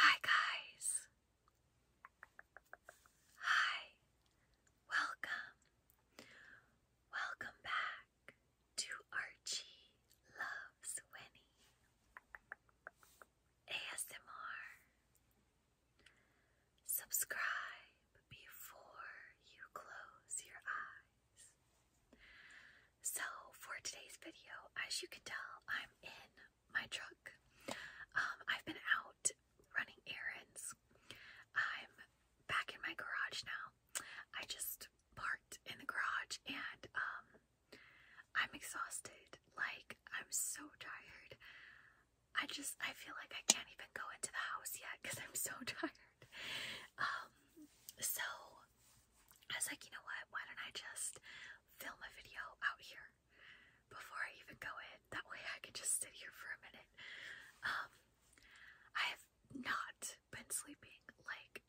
Hi, guys. Hi. Welcome. Welcome back to Archie Loves Winnie ASMR. Subscribe before you close your eyes. So for today's video, as you can tell, I'm in my truck. Um, I've been out running errands. I'm back in my garage now. I just parked in the garage and um, I'm exhausted. Like I'm so tired. I just I feel like I can't even go into the house yet because I'm so tired. Um, so I was like, you know what? Why don't I just film a video out here before I even go in? That way I can just sit here for a minute. Um, I have not been sleeping. Like,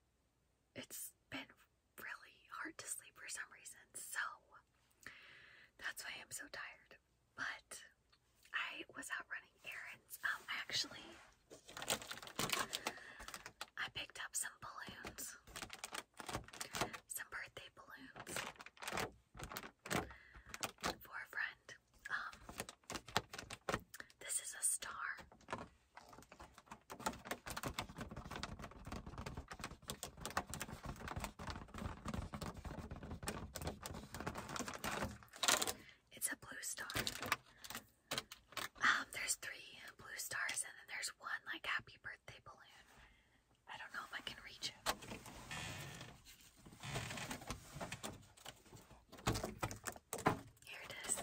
it's been really hard to sleep for some reason. So that's why I'm so tired. But I was out running errands. Um, I actually I picked up some balloons, some birthday balloons for a friend. Um, this is a star. It's a blue star. Um, there's three blue stars, and then there's one like happy birthday balloon. I don't know if I can reach it. Here it is.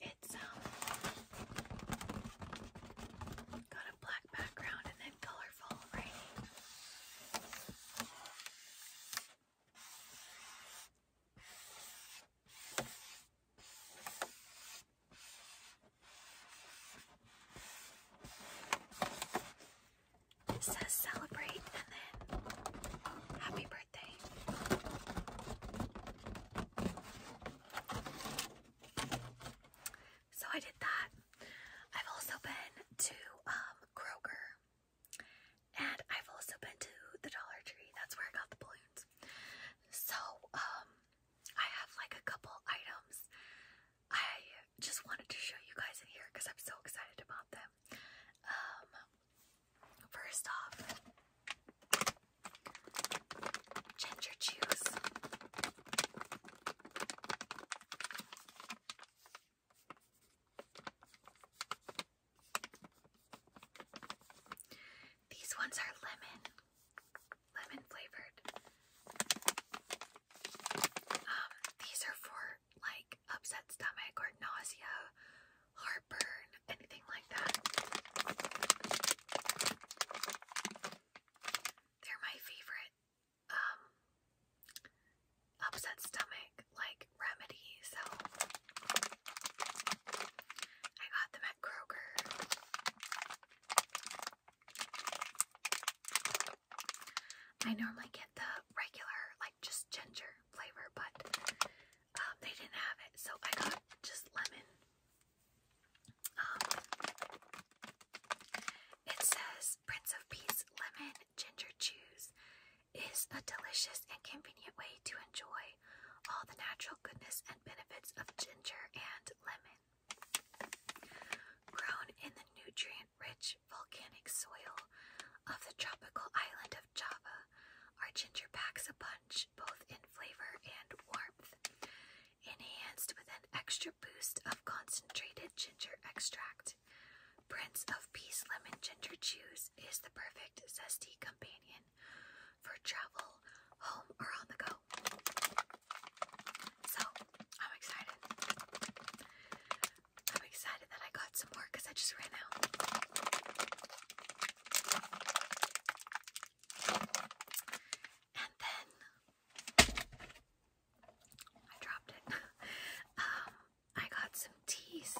It's um black background and then colorful writing. It says celebrate and then happy birthday. So I did that. I've also been to um, Kroger. And I've also been to the Dollar Tree. That's where I got the balloons. So, um, I have like a couple items. I just wanted to show you guys in here because I'm so excited about them. Um, first off, ginger juice. These ones are lemon, lemon flavored. Um, these are for like upset stomach or nausea, heartburn, anything like that. They're my favorite. Um, upset stomach like remedy, so I got them at Kroger. I normally get the regular, like just ginger flavor, but um, they didn't have it, so I got just lemon. Um, it says Prince of Peace lemon ginger juice is a delicious and convenient way to enjoy all the natural goodness and benefits of ginger and lemon. Grown in the nutrient rich volcanic soil of the tropical island of Java, our ginger packs a punch both in flavor and warmth enhanced with an extra boost of concentrated ginger extract. Prince of Peace Lemon Ginger Juice is the perfect zesty companion for travel, home, or on the go. So, I'm excited. I'm excited that I got some more because I just ran out. And then I dropped it. Um, I got some teas.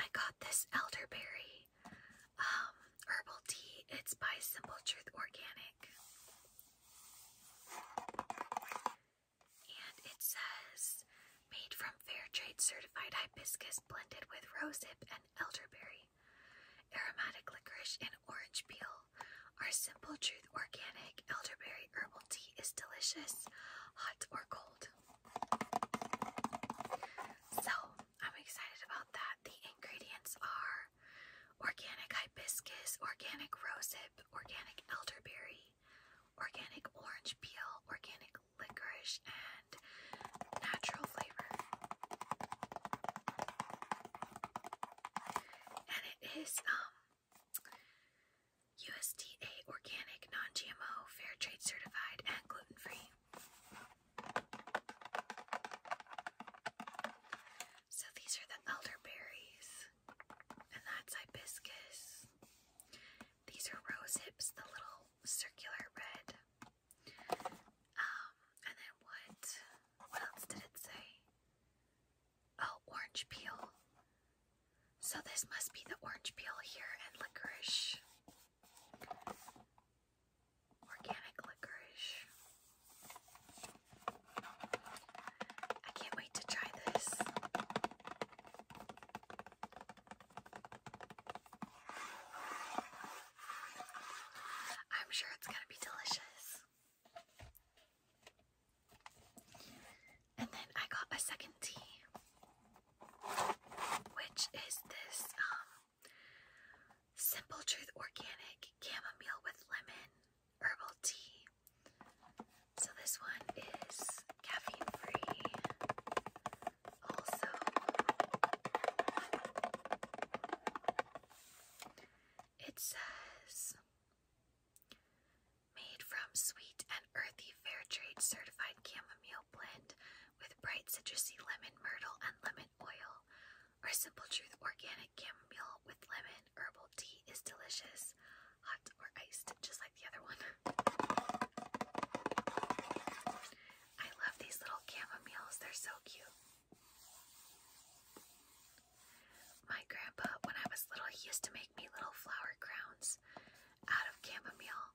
I got this elderberry um, herbal tea. It's by Simple Truth Organic. And it says made from fair trade certified hibiscus blended with rosehip and elderberry. Aromatic licorice and orange peel. Our Simple Truth organic elderberry herbal tea is delicious, hot or cold. So, I'm excited about that. The ingredients are organic hibiscus, organic rosehip, organic elderberry, organic orange peel, organic licorice, and natural flavor. And it is USDA um, organic, non-GMO, fair trade certified, and gluten-free. So these are the elderberries, and that's hibiscus, these are rose hips, the little circular red. Um, and then what? What else did it say? Oh, orange peel. So this must be the orange peel here and licorice. Organic licorice. I can't wait to try this. I'm sure it's going to be delicious. And then I got a second tea, which is this um, Simple Truth Organic Chamomile with Lemon Herbal Tea. So this one is caffeine free. Also, it says made from sweet and earthy fair trade certified chamomile blend with bright citrusy lemon myrtle and lemon oil. Our simple truth organic chamomile with lemon herbal tea is delicious, hot or iced, just like the other one. I love these little chamomiles, they're so cute. My grandpa, when I was little, he used to make me little flower crowns out of chamomile.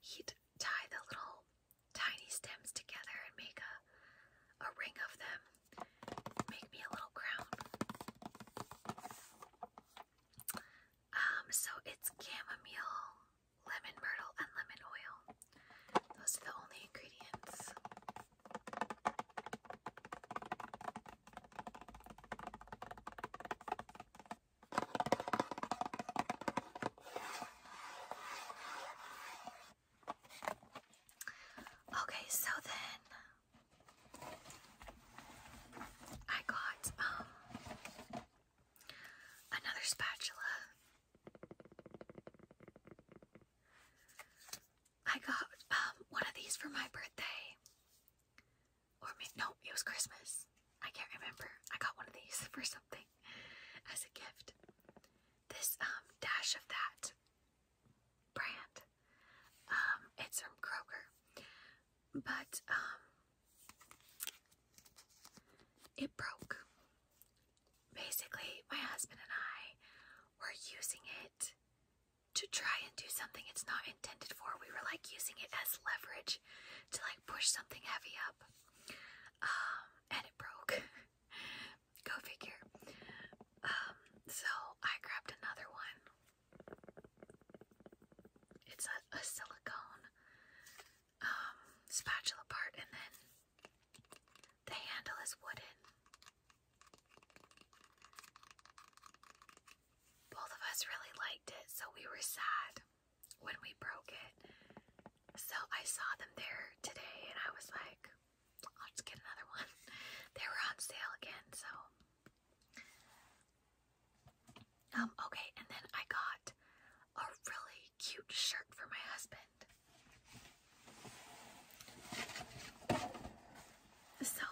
He'd tie the little tiny stems together and make a a ring of them. Make me a little crown. Um, so it's chamomile, lemon myrtle, and lemon oil. Those are the only ingredients. Okay, so then I got um another spatula. I got um one of these for my birthday. Or maybe no, it was Christmas. I can't remember. I got one of these for something as a gift. This um dash of that brand. Um, it's from Kroger. But um it broke. Basically, my husband and I were using it to try and do something it's not intended for. We were like using it as leverage to like push something heavy up. Um, and it broke. Go figure. Um, so I grabbed another one it's a, silicone um, spatula part, and then the handle is wooden. Both of us really liked it, so we were sad when we broke it. So I saw them there today, and I was like, I'll just get another one. They were on sale again, so um, okay, and then I got a really cute shirt for my husband. So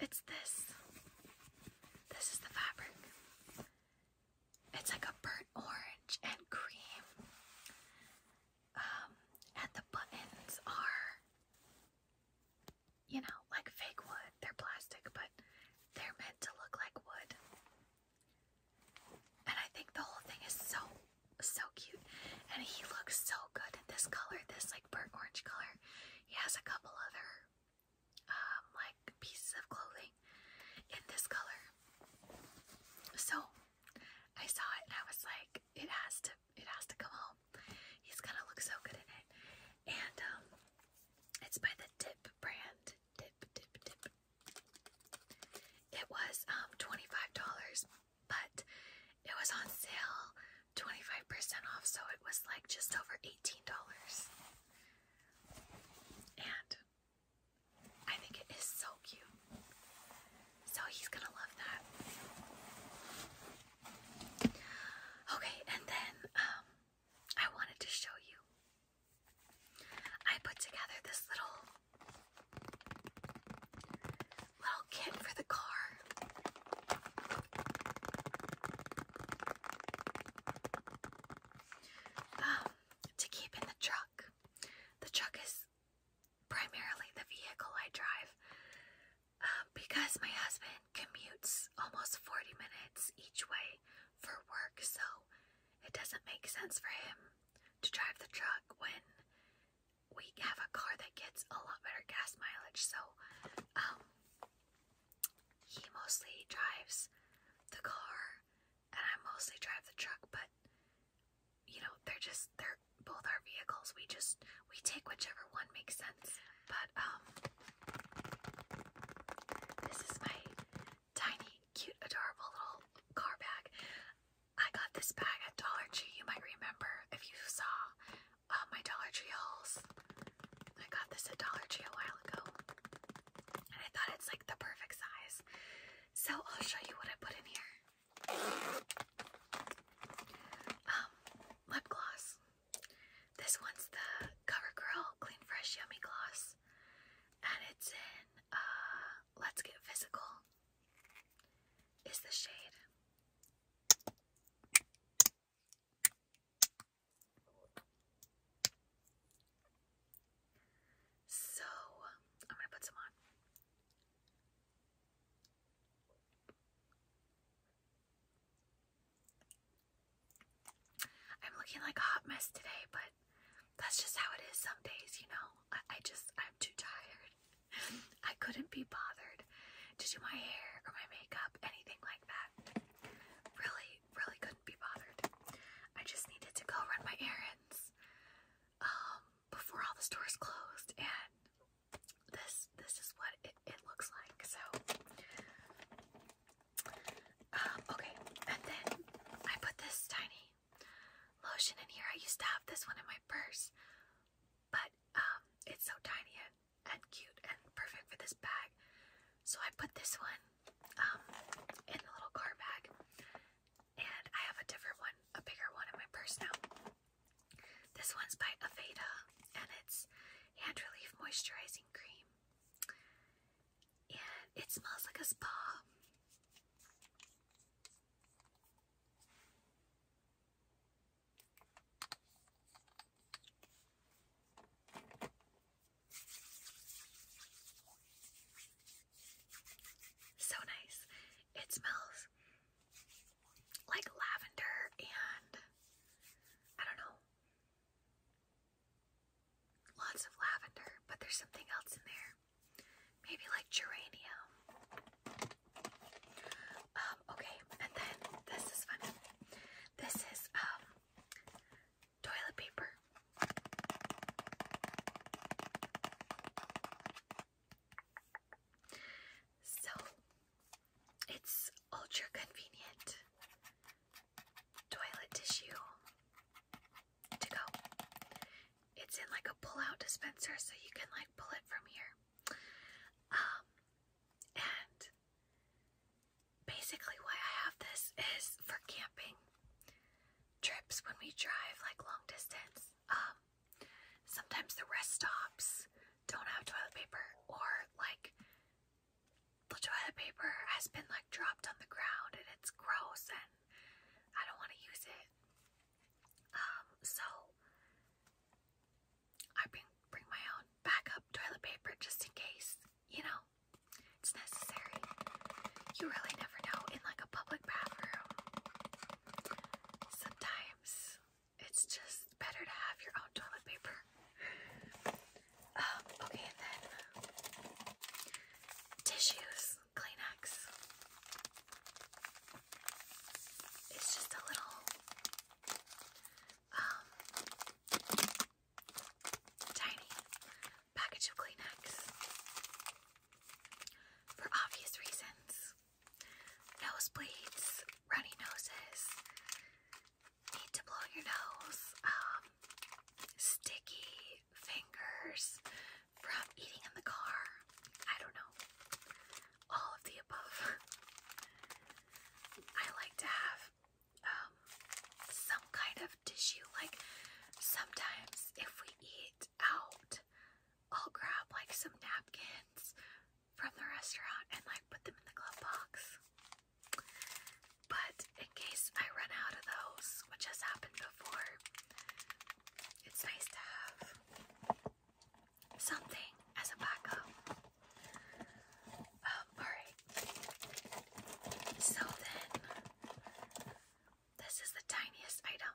it's this. This is the fabric. It's like a burnt orange and cream. Um, and the buttons are you know, like fake wood. They're plastic, but they're meant to look like wood. And I think the whole thing is so, so cute. And he looks so good in this color, this like burnt orange color. He has a couple other, um, like pieces of clothing in this color. So I saw it and I was like, it has to, it has to come home. He's gonna look so good in it. And um, it's by the Dip brand. Dip, dip, dip. It was um $25, but it was on sale 25% off, so it was like just over $18. And I think it is so cute. So he's gonna love that. Okay, and then um I wanted to show you. I put together this little little kit for the car. Um, to keep in the truck. The truck is primarily the vehicle I drive. Um, because my husband commutes almost 40 minutes each way for work, so it doesn't make sense for him to drive the truck when we have a car that gets a lot better gas mileage. So, um, he mostly drives the car and I mostly drive the truck, but you know, they're just, they're both our vehicles. We just, we take whichever one makes sense. But, um, this is my tiny, cute, adorable little car bag. I got this bag at Dollar Tree. You might remember if you saw uh, my Dollar Tree hauls. I got this at Dollar Tree a while ago. And I thought it's like the perfect size. So I'll show you what I put in here. Um, lip gloss. This one's the CoverGirl Clean Fresh Yummy Gloss, and it's in uh, Let's Get Physical. Is the shade. So, I'm going to put some on. I'm looking like a hot mess today, but that's just how it is some days, you know. I, just, I'm too tired. I couldn't be bothered to do my hair or my makeup, anything like that. Really, really couldn't be bothered. I just needed to go run my errands um, before all the stores closed, and this this is what it, it looks like. So um, okay, and then I put this tiny lotion in here. I used to have this one in my purse, but um, it's so tiny and, and cute and perfect for this bag. So I put this one um, in the little car bag, and I have a different one, a bigger one in my purse now. This one's by Aveda, and it's hand relief moisturizing cream. And it smells like a spa. So nice. It smells like lavender and I don't know. Lots of lavender, but there's something else in there. Maybe like geranium. Um, okay, and then this is funny. This is um toilet paper. So it's ultra convenient toilet tissue to go. It's in like a pull-out dispenser, so you can like pull it from here. Um, and basically, why I have this is for camping trips when we drive like long distance. Um, sometimes the rest stops don't have toilet paper or like the toilet paper has been like dropped on the ground and it's gross and I don't want to use it. Um, so I bring bring my own backup toilet paper just in case, you know, it's necessary. You really never know in like a public bathroom. Sometimes it's just better to have your own toilet paper. Um, okay, and then tissues, Kleenex. It's just a little um tiny package of Kleenex. For obvious reasons. Nosebleeds, runny noses, need to blow your nose, um, sticky fingers from eating in the car. I don't know. All of the above. I like to have um, some kind of tissue. Like sometimes if we eat out, I'll grab like some napkins from the restaurant and like put them in the glove box. But in case I run out of those, which has happened before, it's nice to have something as a backup. Um, alright. So then, this is the tiniest item.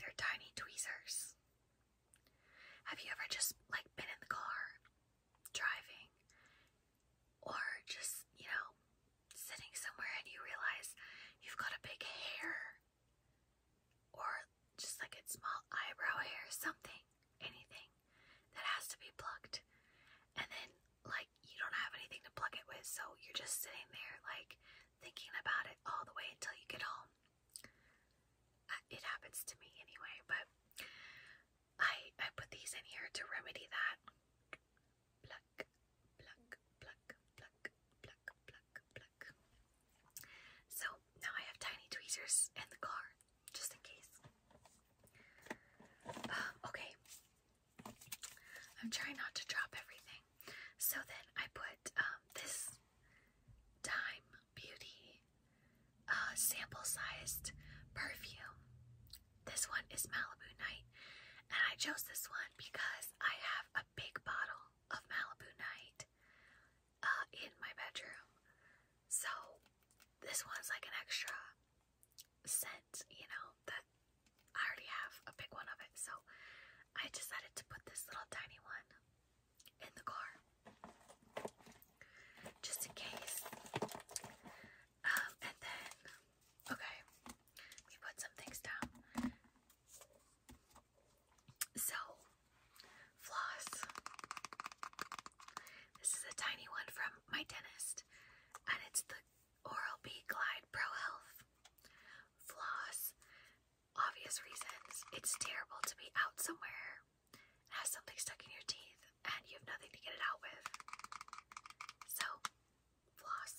They're tiny tweezers. Have you ever just like been in the car driving or just, you know, sitting somewhere and you realize you've got a big hair or just like a small eyebrow hair, something, anything that has to be plucked. And then like you don't have anything to pluck it with, so you're just sitting there like thinking about it all the way until you get home. Uh, it happens to me anyway, but I I put these in here to remedy that. So now I have tiny tweezers in the car, just in case. Um, okay. I'm trying not to drop everything. So then I put um, this Time Beauty uh, sample sized perfume. This one is Malibu Night, and I chose this one because I have a big bottle of Malibu Night uh, in my bedroom. So this one's like an extra scent, you know, that I already have a big one of it. So I decided to put this little tiny one in the car just in case. Um, and then, okay, we put some things down. So, floss. This is a tiny one from my dentist, and it's the Oral B Glide Pro Health. Floss obvious reasons. It's terrible to be out somewhere, and something stuck in your teeth, and you have nothing to get it out with. So, floss.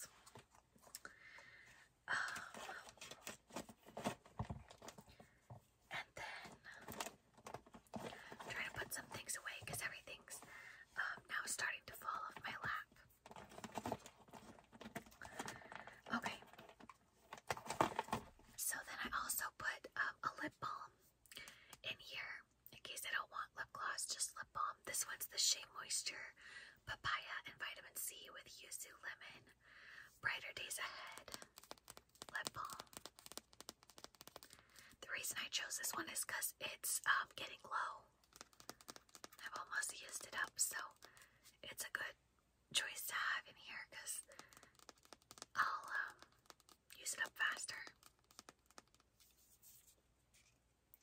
Um, and then try to put some things away because everything's um, now starting to fall off my lap. Okay, so then I also put um, a lip balm in here in case I don't want lip gloss, just lip balm. This one's the Shea Moisture Papaya and Vitamin C with Yuzu Lemon. Brighter Days Ahead lip balm. The reason I chose this one is it's um, getting low. I've almost used it up, so it's a good choice to have in here because I'll um, use it up faster.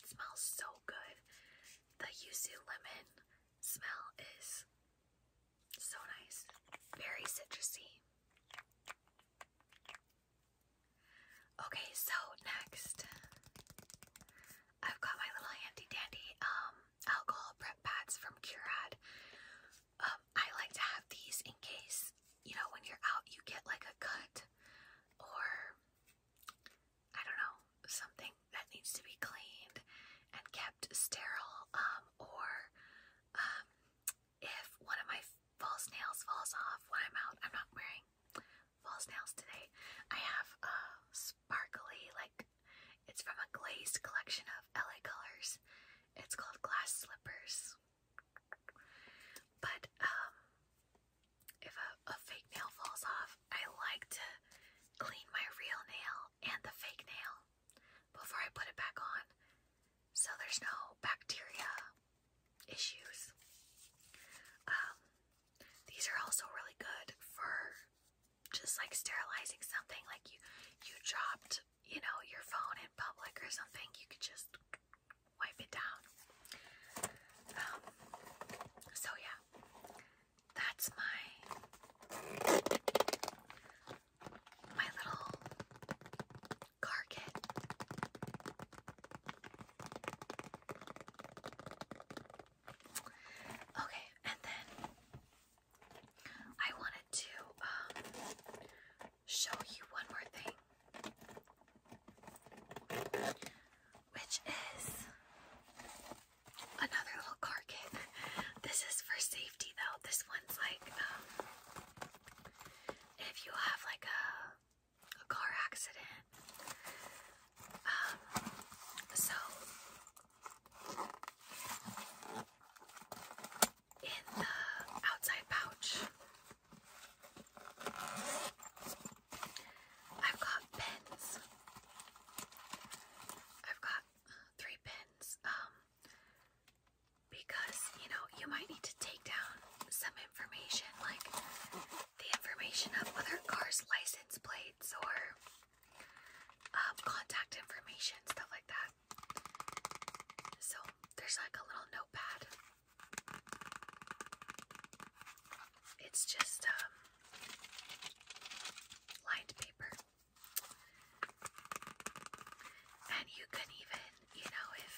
smells so good. The yuzu lemon smell is so nice, very citrusy. Okay, so next I've got my little handy dandy um alcohol prep pads from Curad. Um, I like to have these in case, you know, when you're out, you get like a cut or I don't know, something that needs to be cleaned and kept sterile. Um, or um, if one of my false nails falls off when I'm out, I'm not wearing false nails today. I have sparkly, like it's from a glazed collection of LA colors. It's called Glass Slippers. But um, if a, fake nail falls off, I like to clean my real nail and the fake nail before I put it back on. So there's no bacteria issues. Um, these are also really good for just like sterilizing something like you you dropped you know your phone in public or something you could just wipe it down um, so yeah that's my my little car kit okay and then I wanted to um, show you one more thing, which is another little car kit. This is for safety, though. This one's like um, if you have like a, car accident. Um, so in the outside pouch. I've got pins. I've got three pins. Um because you know you might need to take down some information like the information of other cars license plates or um, contact information, stuff like that. So there's like a little notepad. It's just um, lined paper. And you can even, you know, if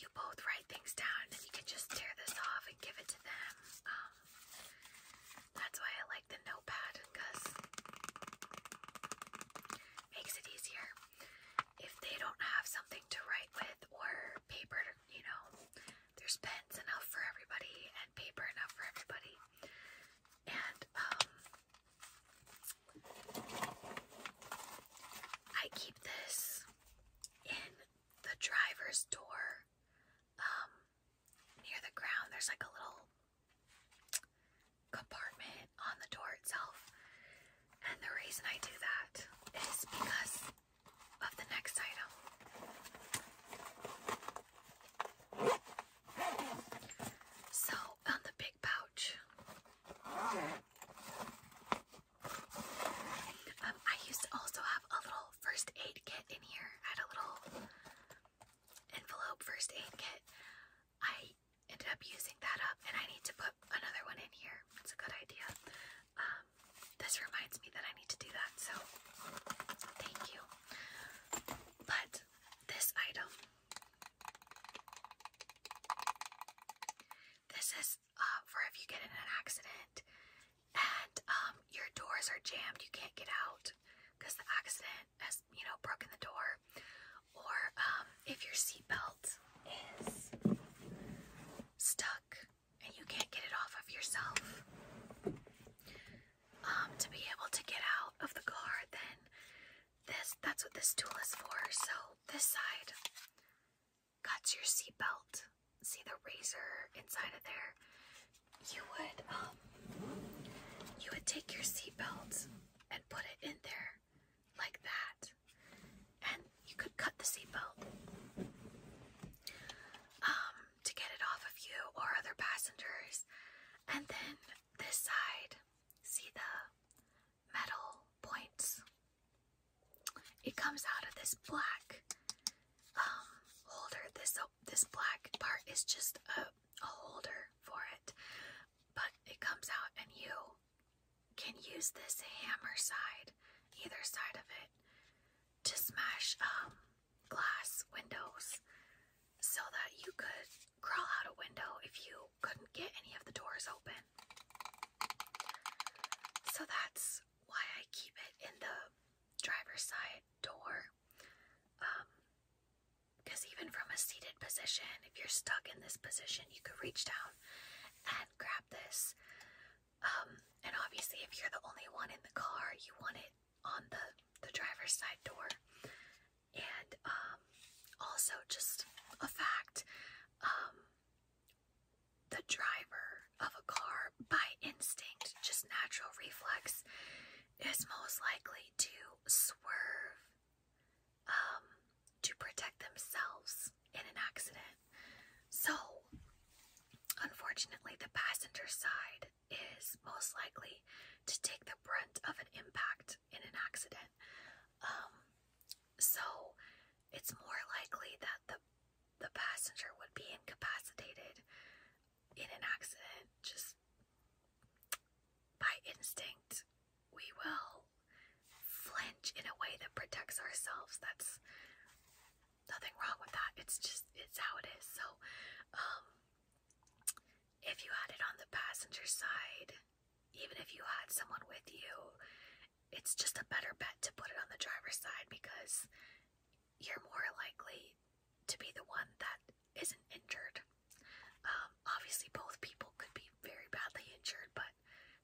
you both write things down, you can just tear this off and give it to them. Um, that's why I like the notepad because makes it easier. If they don't have something to write with or paper, you know, there's pens enough for everybody and paper enough for everybody. And um I keep this in the driver's door um near the ground, there's like a little compartment on the door itself. And the reason I do that is because of the next item. So, on the big pouch, um, I used to also have a little first aid kit in here. I had a little envelope first aid kit. I ended up using that up, and I need to put another one in here. It's a good idea. Um, this reminds me that I need to do that, so thank you. But this item, this is uh, for if you get in an accident and um, your doors are jammed, you can't get out because the accident has, you know, broken the door, or um, if your seatbelt is stuck and you can't get it off of yourself, um, to be able to get out of the car, then this that's what this tool is for. So this side cuts your seatbelt. See the razor inside of there? you would um you would take your seatbelt and put it in there like that. And you could cut the seatbelt um to get it off of you or other passengers. And then this side, see the metal points. It comes out of this black um holder, this this black part is just a, holder for it, but it comes out, and you can use this hammer side, either side of it, to smash um, glass windows so that you could crawl out a window if you couldn't get any of the doors open. So that's why I keep it in the driver's side door because um, even from a seated position, if you're stuck in this position, you could reach down and grab this. Um, and obviously, if you're the only one in the car, you want it on the, the driver's side door. And um, also, just a fact um, the driver of a car by instinct, just natural reflex, is most likely to swerve um, to protect themselves in an accident. So, unfortunately, the passenger side is most likely to take the brunt of an impact in an accident. Um, so, it's more likely that the the passenger would be incapacitated in an accident, just by instinct, we will flinch in a way that protects ourselves. That's nothing wrong with that. It's just, it's how it is. So, um, if you had it on the passenger side, even if you had someone with you, it's just a better bet to put it on the driver's side because you're more likely to be the one that isn't injured. Um, obviously, both people could be very badly injured, but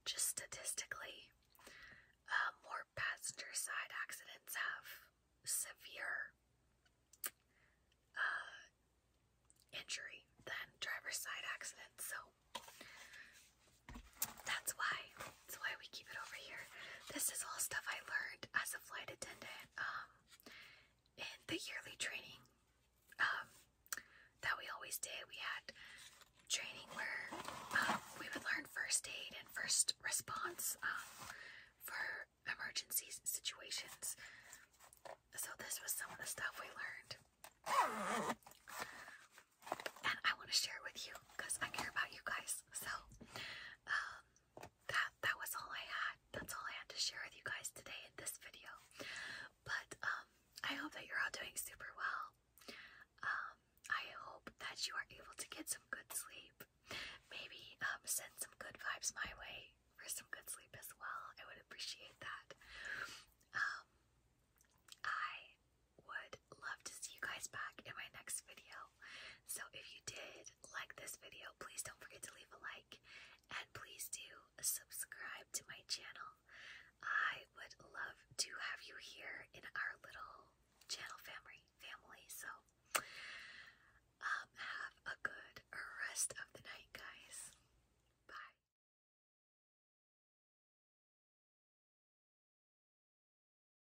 just statistically, uh, more passenger side accidents have severe uh, injury than driver's side accidents. So that's why that's why we keep it over here. This is all stuff I learned as a flight attendant um, in the yearly training um, that we always did. We had training where um, we would learn first aid and first response um, for emergency situations. So this was some of the stuff we learned. And I want to share with you because I care about you guys. So, that that was all I had. That's all I had to share with you guys today in this video. But um, I hope that you're all doing super well. Um, I hope that you are able to get some good sleep. Maybe um, send some good vibes my way for some good sleep as well. I would appreciate that. I would love to see you guys back in my next video. So if you did like this video, please don't forget to leave a like and please do subscribe to my channel. I would love to have you here in our little channel family family. So um have a good rest of the night guys. Bye.